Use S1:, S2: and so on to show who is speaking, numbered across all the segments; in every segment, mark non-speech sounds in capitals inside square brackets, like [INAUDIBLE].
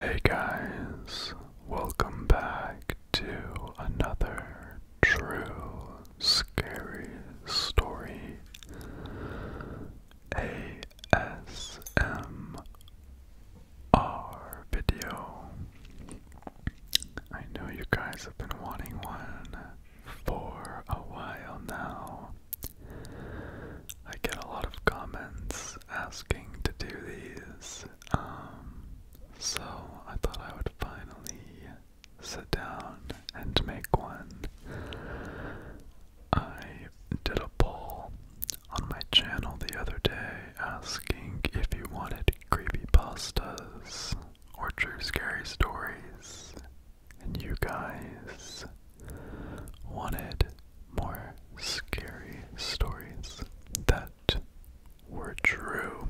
S1: Hey guys, welcome back to another true scary story ASMR video. I know you guys have been wanting one for a while now. I get a lot of comments asking to do these, um, so I thought I would finally sit down and make one. I did a poll on my channel the other day asking if you wanted creepy pastas or true scary stories, and you guys wanted more scary stories that were true.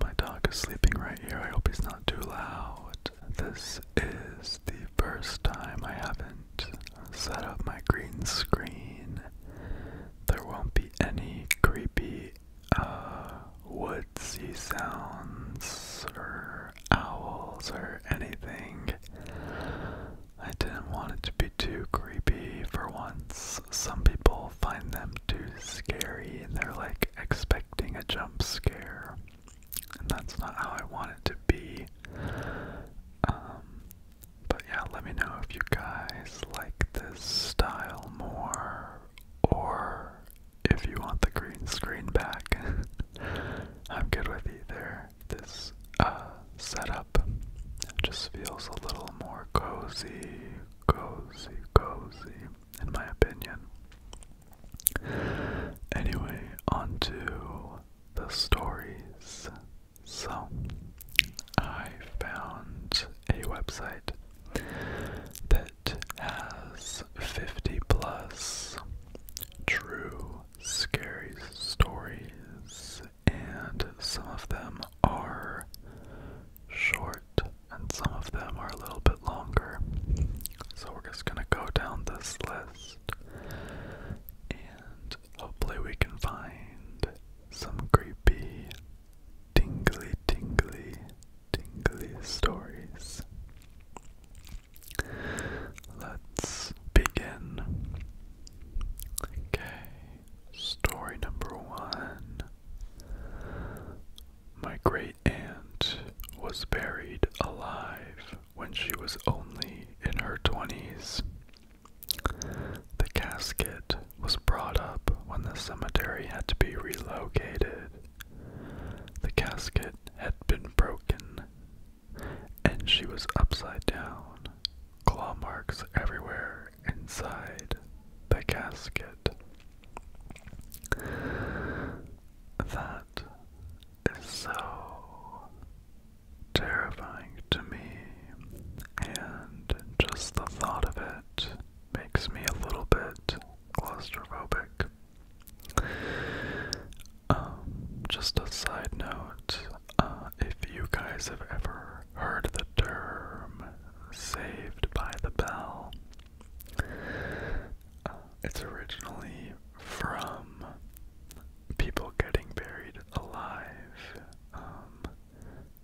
S1: My dog is sleeping right here. I hope he's not too loud. This is the first time I haven't set up my green screen. There won't be any creepy uh, woodsy sounds owls or anything. I didn't want it to be too creepy for once. Some people find them too scary and they're like expecting a jump scare. And that's not how I want it to be. Um, but yeah, let me know if you guys like this style more or if you want the green screen back. [LAUGHS] I'm good with either this uh, setup just feels a little more cozy, cozy, cozy, in my opinion. Anyway, onto the stories. So, I found a website that has 50 plus true scary stories, and some of them are short and some of them are a little bit longer. So we're just going to go down this list and hopefully we can find some creepy, tingly, tingly, tingly stories. Let's begin. Okay, story number one. My great aunt was buried alive when she was only in her 20s. The casket was brought up when the cemetery had to be relocated. The casket had been broken and she was upside down, claw marks everywhere inside the casket. That is so terrifying to me, and just the thought of it makes me a little bit claustrophobic. Um, just a side note, uh, if you guys have ever heard the term saved by the bell, uh, it's originally from people getting buried alive. Um,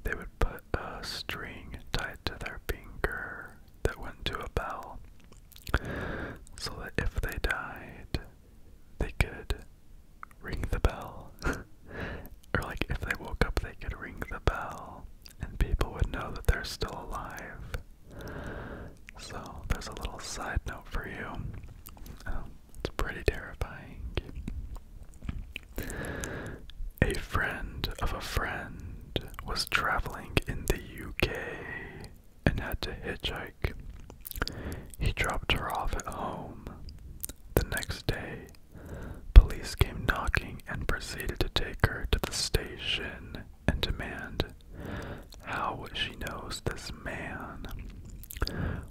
S1: they would put a string tied to their finger that went to a bell so that if they died, they could ring the bell. [LAUGHS] or, like, if they woke up, they could ring the bell, and people would know that they're still alive. So, there's a little side note for you. Oh, it's pretty terrifying. A friend of a friend was traveling in the UK and had to hitchhike. He dropped her off at home. The next day, police came knocking and proceeded to take her to the station and demand how she knows this man,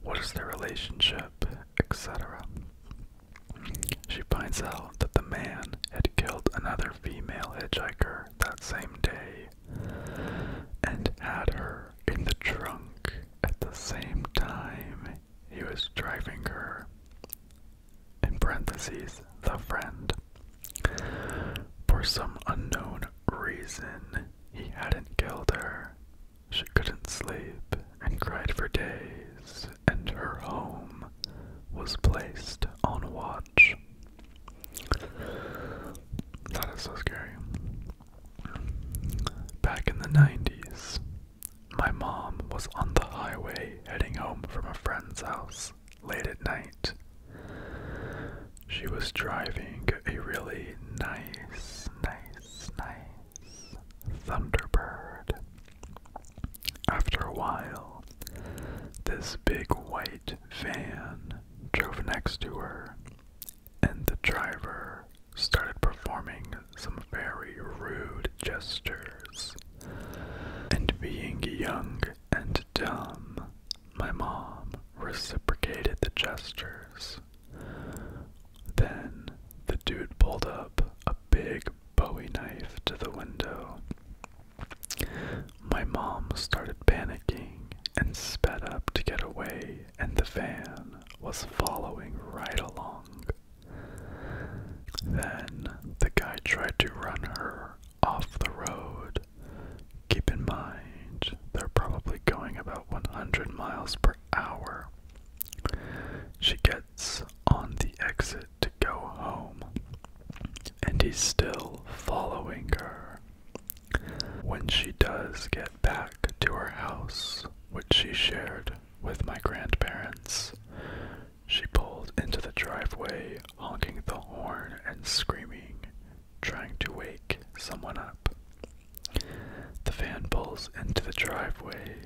S1: what is their relationship, etc. She finds out that the man had killed another female hitchhiker that same day and had her in the trunk at the same time he was driving her. In parentheses, the friend. For some unknown reason, he hadn't killed her. She couldn't sleep and cried for days, and her home was placed on water. That is so scary. Back in the 90s, my mom was on the highway heading home from a friend's house late at night. She was driving a really nice, nice, nice Thunderbird. After a while, this big white van drove next to her, and the driver started performing some very rude gestures. And being young and dumb, my mom reciprocated the gestures. Then the dude pulled up a big bowie knife to the window my mom started panicking and sped up to get away, and the van was following right along. Then the guy tried to run her off the road. Keep in mind, they're probably going about 100 miles per hour. She gets on the exit to go home, and he's still following her. When she does get back to her house, which she shared with my grandparents, she pulls into the driveway, honking the horn and screaming, trying to wake someone up. The van pulls into the driveway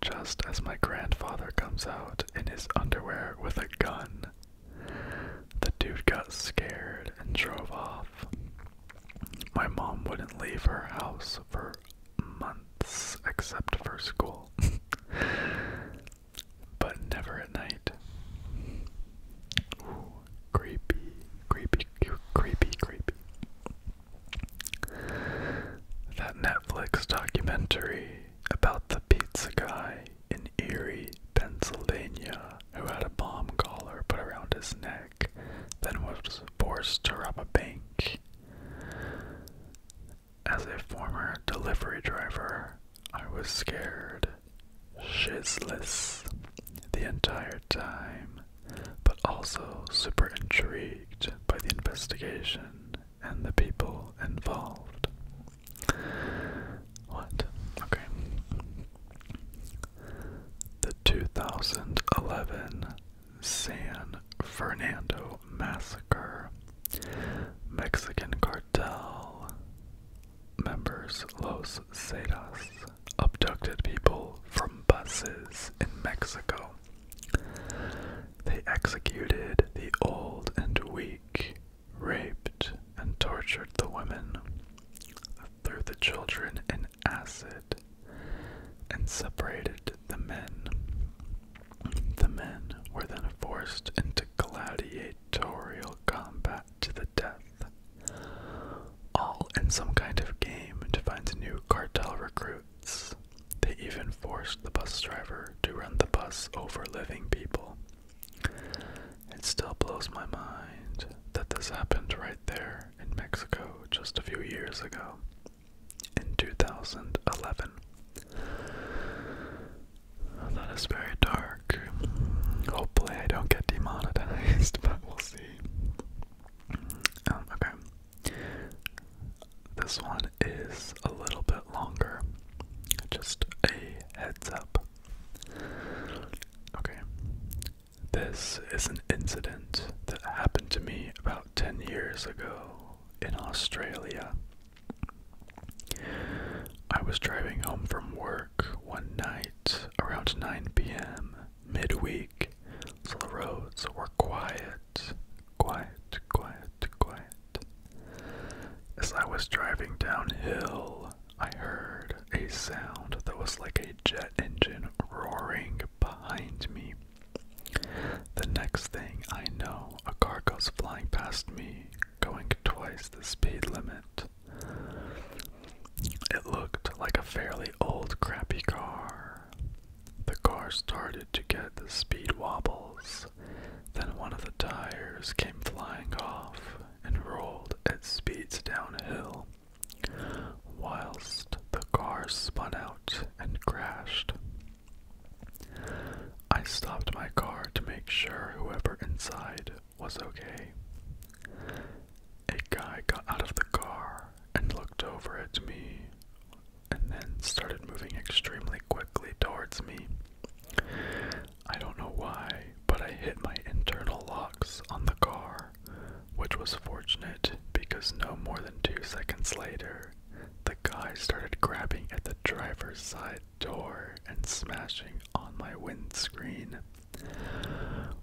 S1: just as my grandfather comes out in his underwear with a gun the dude got scared and drove off. My mom wouldn't leave her house for months except for school, [LAUGHS] but never at night. Ooh, creepy, creepy, creepy, creepy. That Netflix documentary about the pizza guy in Erie, Pennsylvania, who had a bomb collar put around his neck, then was forced to rob a bank. As a former delivery driver, I was scared, shitless, the entire time, but also super intrigued by the investigation and the people involved. What? Okay. The 2011 San Fernando Massacre. Mexican cartel members Los Zetas abducted people from buses in Mexico. They executed the old and weak raped and tortured the women, threw the children in acid, and separated the men. The men were then forced into gladiatorial combat to the death, all in some kind of game to find new cartel recruits. They even forced the bus driver to run the bus over living people it still blows my mind that this happened right there in Mexico just a few years ago, in 2011. That is very dark. Hopefully, I don't get demonetized, [LAUGHS] but we'll see. Um, okay. This one is a little bit longer. Just a heads up. Okay. This is an incident that happened to me about 10 years ago in Australia. I was driving home from work one night around 9 p.m. midweek, so the roads were quiet, quiet, quiet, quiet. As I was driving downhill, I heard a sound that was like a jet engine roaring behind me. The next thing I know, a car goes flying past me, going twice the speed limit. It looked like a fairly old, crappy car. The car started to get the speed wobbles. Then one of the tires came flying off, and rolled at speeds downhill, whilst the car spun out and crashed. I stopped my car to make sure whoever inside was okay. A guy got out of the car and looked over at me and then started moving extremely quickly towards me. I don't know why, but I hit my internal locks on the car, which was fortunate because no more than two seconds later, the guy started grabbing at the driver's side door and smashing on my windscreen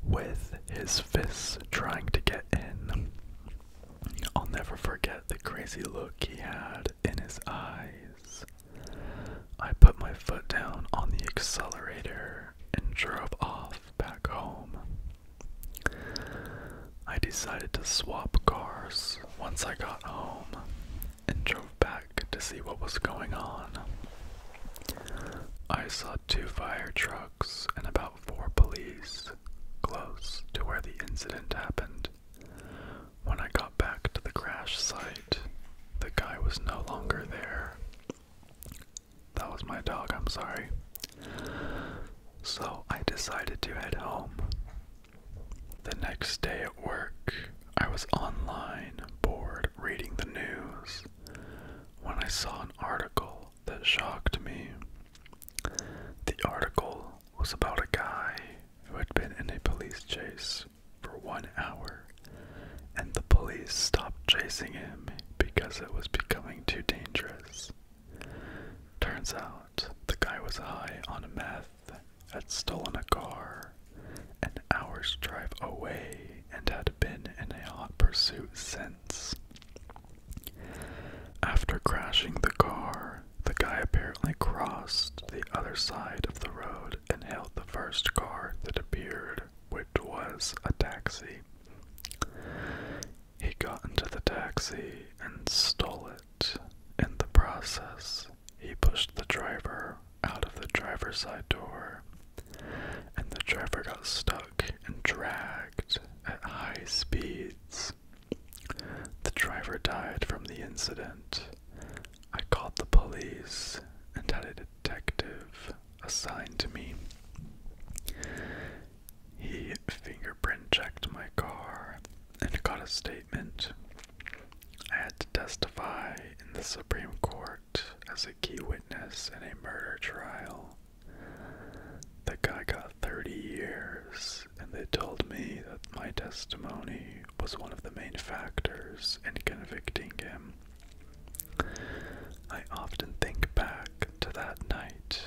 S1: with his fists trying to get in. I'll never forget the crazy look he had in his eyes. I put my foot down on the accelerator and drove off back home. I decided to swap cars once I got home and drove back to see what was going on. I saw two fire trucks and about four police close to where the incident happened, when I got back to the crash site, the guy was no longer there. That was my dog, I'm sorry. So I decided to head home. The next day at work, I was online, bored, reading the news, when I saw an article that shocked me. The article was about a guy who had been in a police chase for one hour, and the police stopped chasing him because it was becoming too dangerous. Turns out the guy was high on meth, had stolen a car an hour's drive away, and had been in a hot pursuit since. After crashing the car, the guy apparently crossed the other side of the road and hailed the first car that appeared, which was a taxi. He got into the taxi and stole it. In the process, he pushed the driver out of the driver's side door, and the driver got stuck and dragged at high speeds. The driver died from the incident, I called the police and had a detective assigned to me. He fingerprint checked my car and got a statement. I had to testify in the Supreme Court as a key witness in a murder trial. The guy got 30 years, and they told me that my testimony was one of the main factors in convicting him. I often think back to that night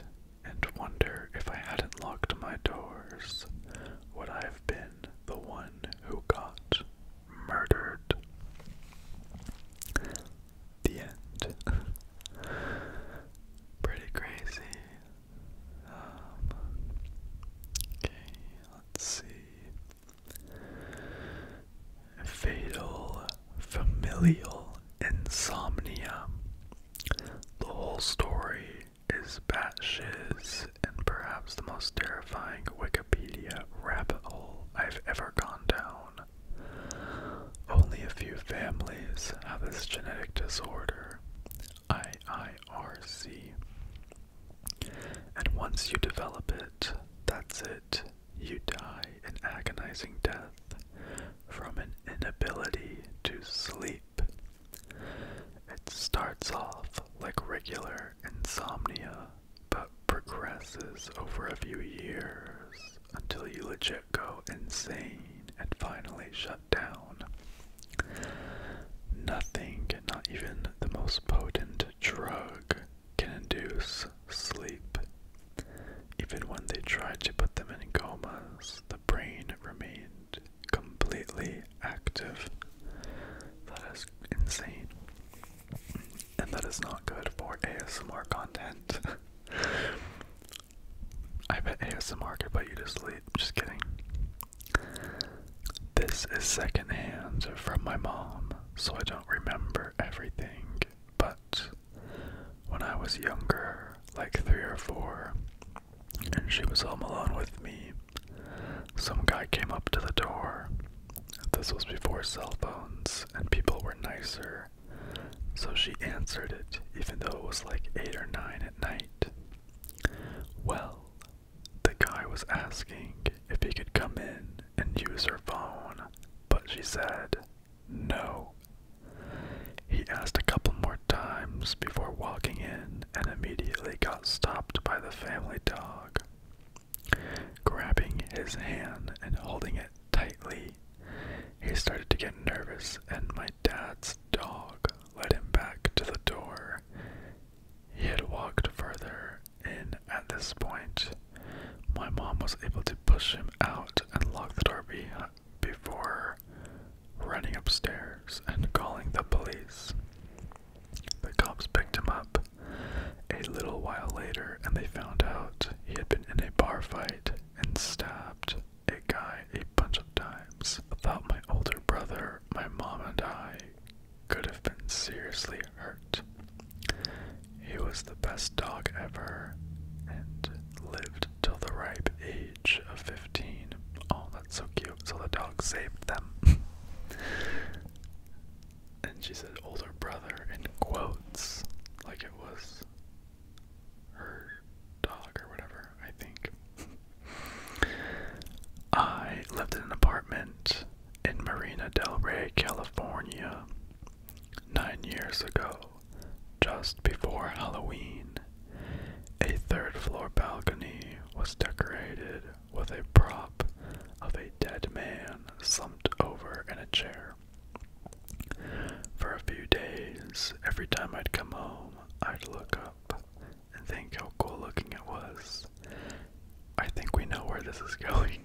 S1: and wonder if I hadn't locked my doors, would I have been the one who got murdered? The end. [LAUGHS] Pretty crazy. Um, okay, Fatal familial insomnia. The whole story is batshit and perhaps the most terrifying Wikipedia rabbit hole I've ever gone down. Only a few families have this genetic disorder. IIRC. And once you develop it, that's it. You die an agonizing death from an inability to sleep. It starts off like regular insomnia, but progresses over a few years until you legit go insane and finally shut down. Nothing, not even the most potent drug, can induce sleep. Even when they tried to put them in comas, the brain remained completely active. That is insane. And that is not good for ASMR content. [LAUGHS] I bet ASMR could put you to sleep. Just kidding. This is secondhand from my mom, so I don't remember everything, but when I was younger, like three or four, and she was home alone with me, some guy came up to the door. This was before cell phones, and people were nicer, so she answered it, even though it was like eight or nine at night. Well, the guy was asking if he could come in and use her phone, but she said no. He asked a couple more times before walking in and immediately got stopped by the family dog. Grabbing his hand and holding it tightly, he started to get nervous, and my dad's dog led him back to the door. He had walked further in at this point. My mom was able to push him out and lock the door before running upstairs and calling the police. The cops picked him up a little while later and they found out he had been in a bar fight and stabbed a guy a bunch of times. About my older brother, my mom, and I could have been seriously hurt. He was the best dog ever and lived till the ripe age of 15. Oh, that's so cute. So the dog saved them. [LAUGHS] and she said older brother in quotes, like it was her dog or whatever, I think. [LAUGHS] I lived in an apartment in Marina Del Rey, California, nine years ago, just before Halloween. A third floor balcony was decorated with a prop of a dead man slumped over in a chair. For a few days, every time I'd come home, I'd look up and think how cool looking it was. I think we know where this is [LAUGHS] going,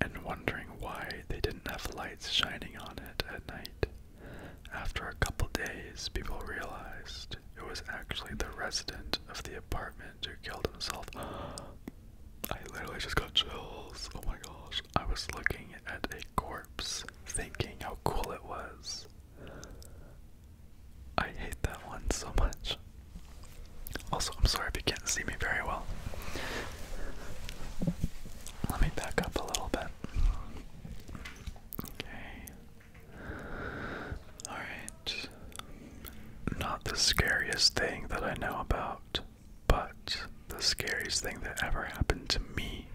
S1: and wondering why they didn't have lights shining on it at night. After a couple days, people realized it was actually the resident of the apartment who killed himself. [GASPS] I literally just got chills. Oh my gosh. I was looking at a corpse, thinking how cool it was. I hate that one so much. Also, I'm sorry if you can't see me very well. Let me back up a little bit. Okay. Alright. Not the scariest thing that I know about, but the scariest thing that ever happened to me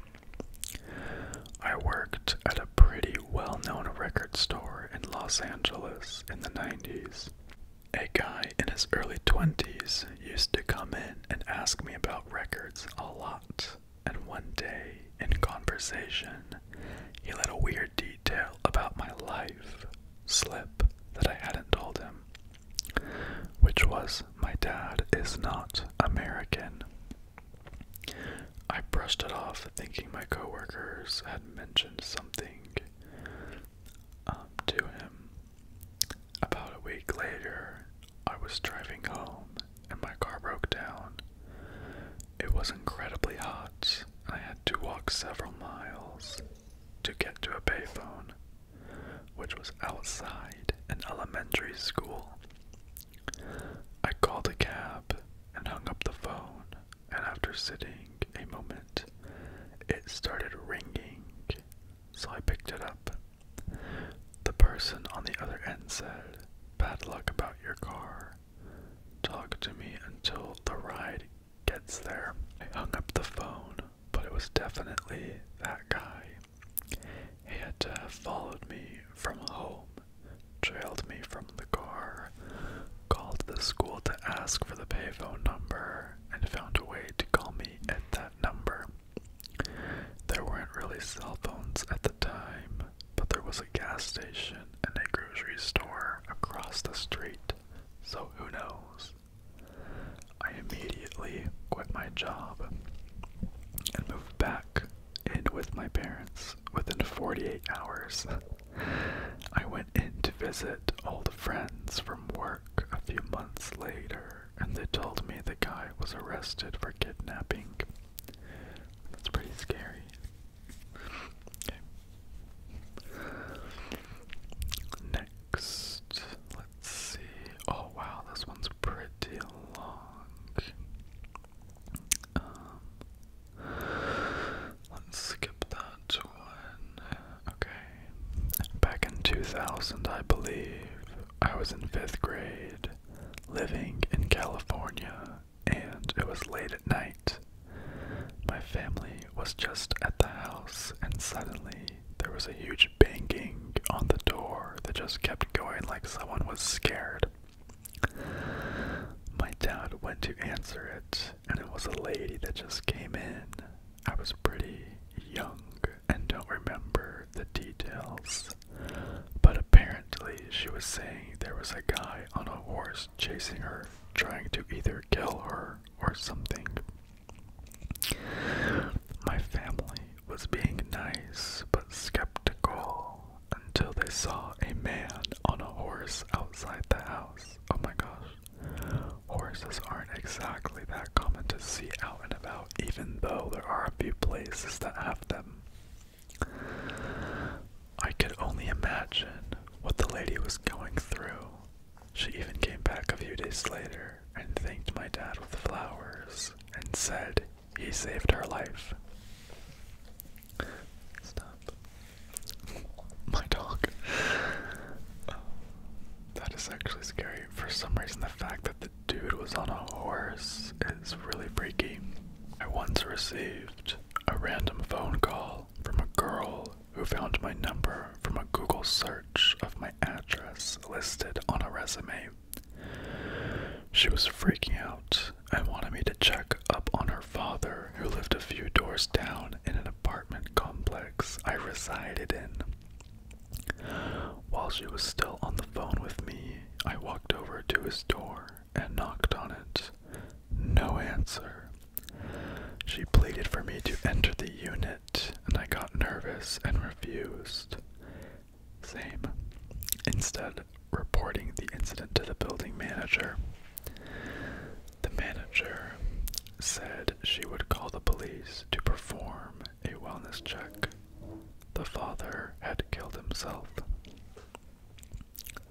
S1: I worked at a pretty well known record store in Los Angeles in the 90s. A guy in his early 20s used to come in and ask me about records a lot, and one day, in conversation, he let a weird detail about my life slip that I hadn't told him, which was my dad is not American. I brushed it off, thinking my coworkers had mentioned something um, to him. About a week later, I was driving home and my car broke down. It was incredibly hot, I had to walk several miles to get to a payphone, which was outside an elementary school. I called a cab and hung up the phone, and after sitting a moment, it started ringing, so I picked it up. The person on the other end said, Bad luck about your car. Talk to me until the ride gets there. I hung up the phone, but it was definitely that guy. He had to uh, have followed me from home, trailed me from the car, called the school to ask for the payphone number, and found a way to call me at that number. There weren't really cell phones at the time, but there was a gas station and a grocery store across the street, so who knows? I immediately quit my job and moved back and with my parents within 48 hours. [LAUGHS] I went in to visit all the friends from work a few months later, and they told me the guy was arrested for kidnapping. That's pretty scary. Next, let's see. Oh wow, this one's pretty long. Um, let's skip that one. Okay. Back in 2000, I believe, I was in fifth grade, living in California, and it was late at night. My family was just at the house, and suddenly there was a huge banging on the door that just kept going like someone was scared. My dad went to answer it, and it was a lady that just came in. I was pretty young and don't remember the details, but apparently she was saying there was a guy on a horse chasing her, trying to either kill her or something. My family was being nice but skeptical, until they saw a man on a horse outside the house. Oh my gosh. Horses aren't exactly that common to see out and about, even though there are a few places that have them. I could only imagine what the lady was going through. She even came back a few days later and thanked my dad with flowers and said he saved her life. Stop. [LAUGHS] My dog. that is actually scary. For some reason, the fact that the dude was on a horse is really freaky. I once received a random phone call from a girl who found my number from a Google search of my address listed on a resume. She was freaking out and wanted me to check up on her father, who lived a few doors down in an apartment complex I resided in. While she was still on the phone with me, I walked over to his door and knocked on it. No answer. She pleaded for me to enter the unit, and I got nervous and refused. Same. Instead, reporting the incident to the building manager. The manager said she would call the police to perform a wellness check. The father had killed himself.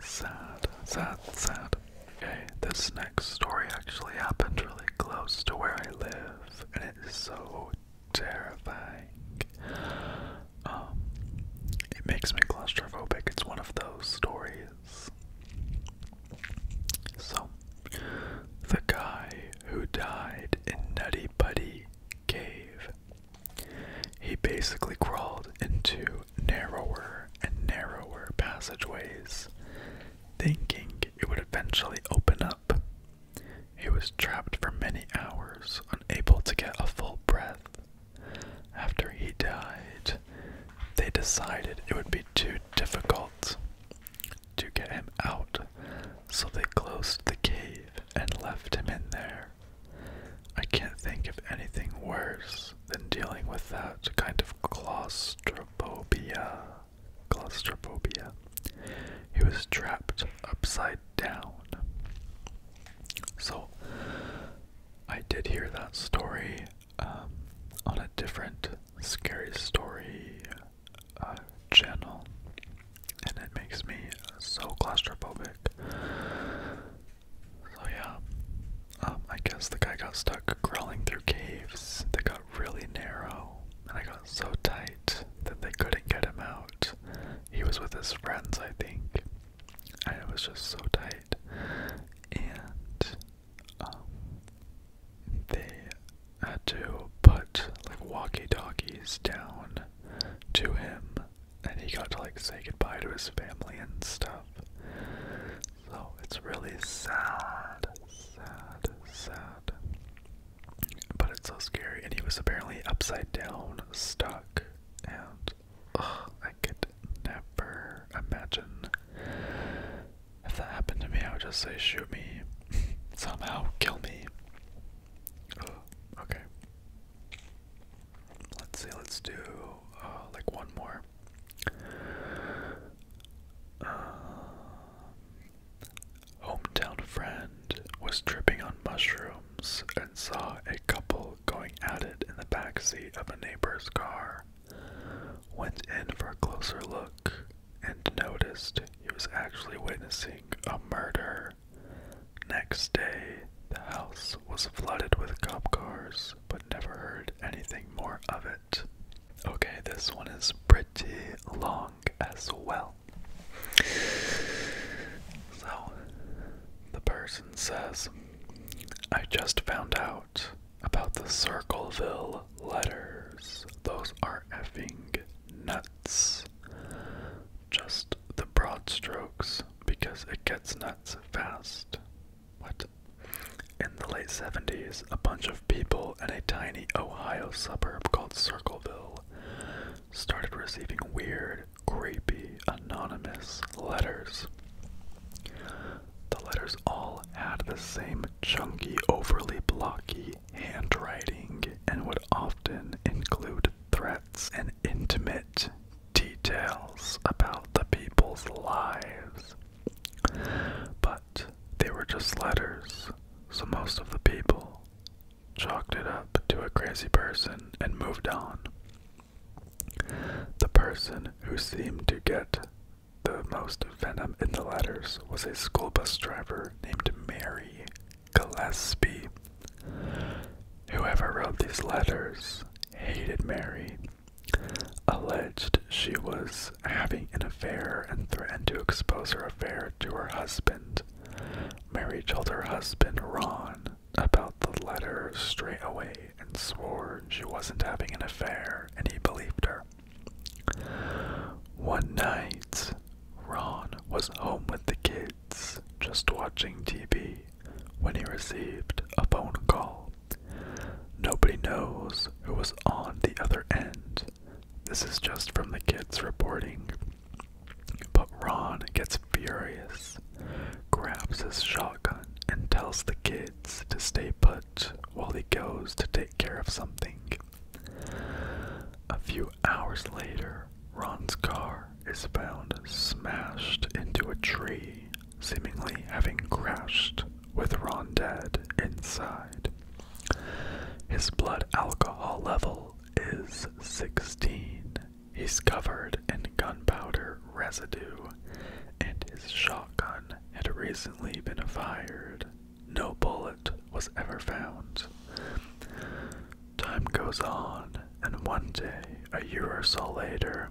S1: Sad, sad, sad. Okay, this next story actually happened really close to where I live, and it is so terrifying. Um, it makes me claustrophobic. It's one of those stories. So, the guy who died in Nutty Buddy Cave, he basically crawled into narrower and narrower passageways, thinking it would eventually open up he was trapped for many hours, unable to get a full breath. After he died, they decided it would be too difficult to get him out, so they closed the cave and left him in there. I can't think of anything worse than dealing with that kind of claustrophobia. Claustrophobia. He was trapped upside down. So, I did hear that story um, on a different scary story uh, channel, and it makes me so claustrophobic. So, yeah, um, I guess the guy got stuck crawling through caves that got really narrow, and I got so tight that they couldn't get him out he was with his friends, I think, and it was just so tight. And um, they had to put like walkie talkies down to him, and he got to like say goodbye to his family and stuff. So it's really sad, sad, sad. But it's so scary, and he was apparently upside down, stuck, and I could never imagine if that happened to me. I would just say, shoot me, [LAUGHS] somehow kill me. okay, let's see. Let's do uh, like one more. Um, hometown friend was tripping on mushrooms and saw a couple going at it in the backseat of a neighbor's car. Went in for a closer look and noticed he was actually witnessing a murder. Next day, the house was flooded with cop cars, but never heard anything more of it. Okay, this one is pretty long as well. So, the person says, I just found out about the Circleville letters. Those are effing nuts. Just the broad strokes because it gets nuts fast. What? In the late 70s, a bunch of people in a tiny Ohio suburb called Circleville started receiving weird, creepy, anonymous letters. The letters all had the same chunky, overly blocky handwriting and would often include threats and intimate details about the people's lives. But they were just letters, so most of the people chalked it up to a crazy person, and moved on. The person who seemed to get the most venom in the letters was a school bus driver named Mary Gillespie. Whoever wrote these letters hated Mary, alleged she was having an affair, and threatened to expose her affair to her husband. Mary told her husband, Ron, about the letter straight away and swore she wasn't having an affair, and he believed her. One night, Ron was home with the kids, just watching TV, when he received a phone call. Nobody knows who was on the other end. This is just from the kids reporting but Ron gets furious, grabs his shotgun, and tells the kids to stay put while he goes to take care of something. A few hours later, Ron's car is found smashed into a tree, seemingly having crashed with Ron dead inside. His blood alcohol level is 16. He's covered in gunpowder residue, and his shotgun had recently been fired. No bullet was ever found. Time goes on, and one day, a year or so later,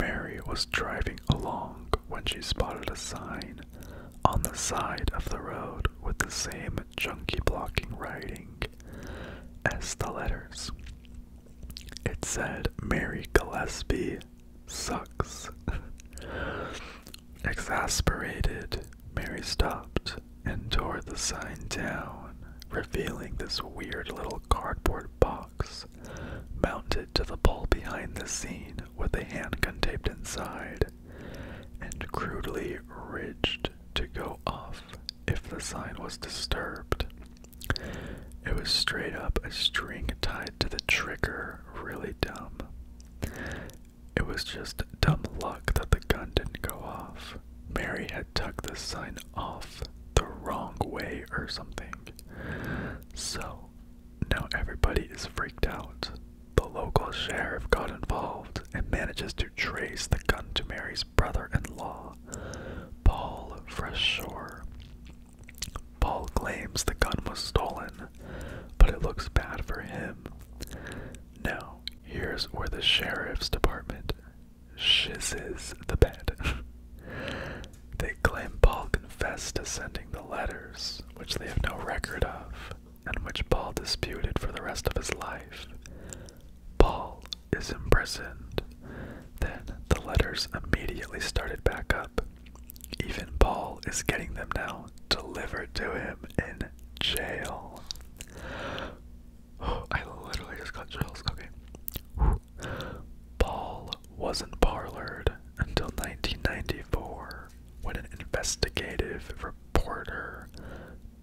S1: Mary was driving along when she spotted a sign on the side of the road with the same chunky blocking writing as the letters. It said, Mary Gillespie sucks. [LAUGHS] Exasperated, Mary stopped and tore the sign down, revealing this weird little cardboard box mounted to the pole behind the scene with a handgun taped inside and crudely ridged to go off if the sign was disturbed. It was straight up a string tied to the trigger, really dumb. It was just dumb luck that the gun didn't go off. Mary had tucked the sign off the wrong way or something. So now everybody is freaked out. The local sheriff got involved and manages to trace the gun to Mary's brother in law, Paul Freshshore. Paul claims the gun was stolen, but it looks bad for him. Now, here's where the sheriff's department shizzes the bed. [LAUGHS] they claim Paul confessed to sending the letters, which they have no record of and which Paul disputed for the rest of his life. Paul is imprisoned. Then the letters immediately started back up. Even Paul is getting them now delivered to him in jail. [GASPS] I literally just got chills. Okay. [SIGHS] Paul wasn't parlored until 1994 when an investigative reporter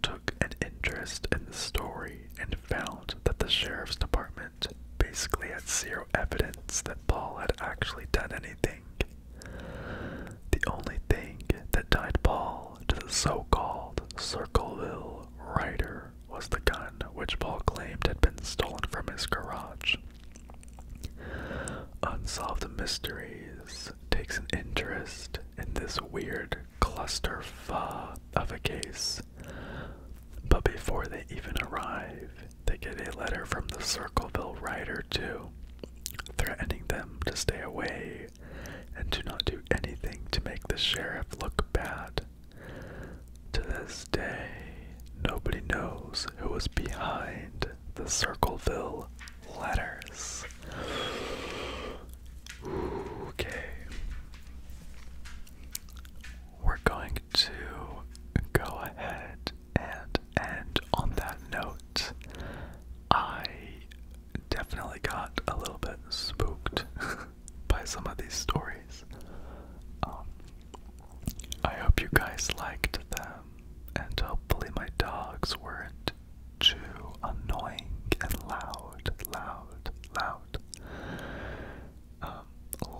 S1: took an interest in the story and found that the sheriff's department basically had zero evidence that Paul had actually done anything. The only thing that tied Paul to the so called Circleville Rider was the gun which Paul claimed had been stolen from his garage. Unsolved Mysteries takes an interest in this weird clusterfuck of a case. But before they even arrive, they get a letter from the Circleville writer, too, threatening them to stay away and to not do anything to make the sheriff look bad. To this day, nobody knows who was behind the Circleville letters. Okay. We're going to go ahead and end on that note. I definitely got a little bit spooked [LAUGHS] by some of these stories. Um, I hope you guys liked them, and hopefully, my dogs weren't too annoying and loud, loud, loud. Um,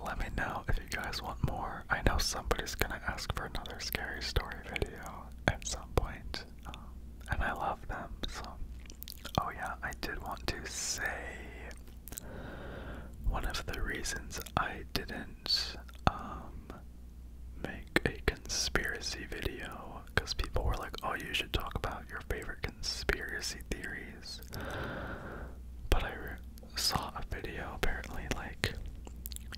S1: let me know if you guys want more. I know somebody's gonna ask for another scary story video at some um, and I love them. So, oh yeah, I did want to say one of the reasons I didn't um, make a conspiracy video because people were like, oh, you should talk about your favorite conspiracy theories. But I saw a video apparently like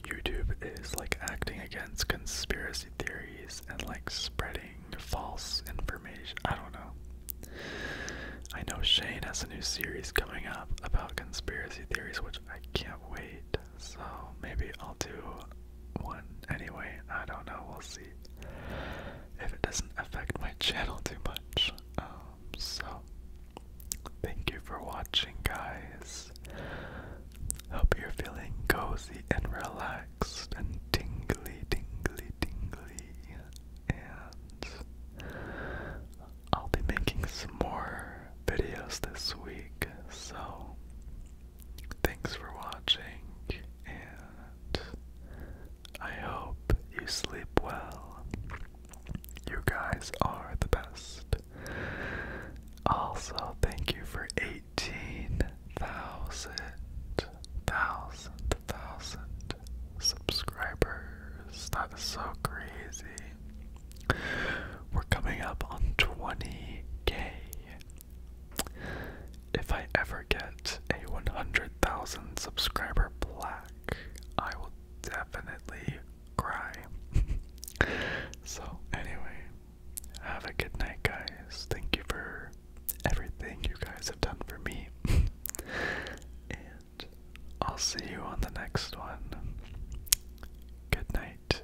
S1: YouTube is like acting against conspiracy theories and like spreading false information. I don't know. I know Shane has a new series coming up about conspiracy theories, which I can't wait so maybe I'll do one anyway. I don't know, we'll see if it doesn't affect my [LAUGHS] channel too much. Um, so, thank you for watching, guys. Hope you're feeling cozy and relaxed and tingly, tingly, tingly. And I'll be making more videos this week, so Thanks for watching, and I hope you sleep well. You guys are the best. Also, thank you for 18,000, thousand, thousand subscribers. That is so crazy. We're coming up on 20k if I ever get a 100,000 subscriber black, I will definitely cry. [LAUGHS] so, anyway, have a good night, guys. Thank you for everything you guys have done for me. [LAUGHS] and I'll see you on the next one. Good night.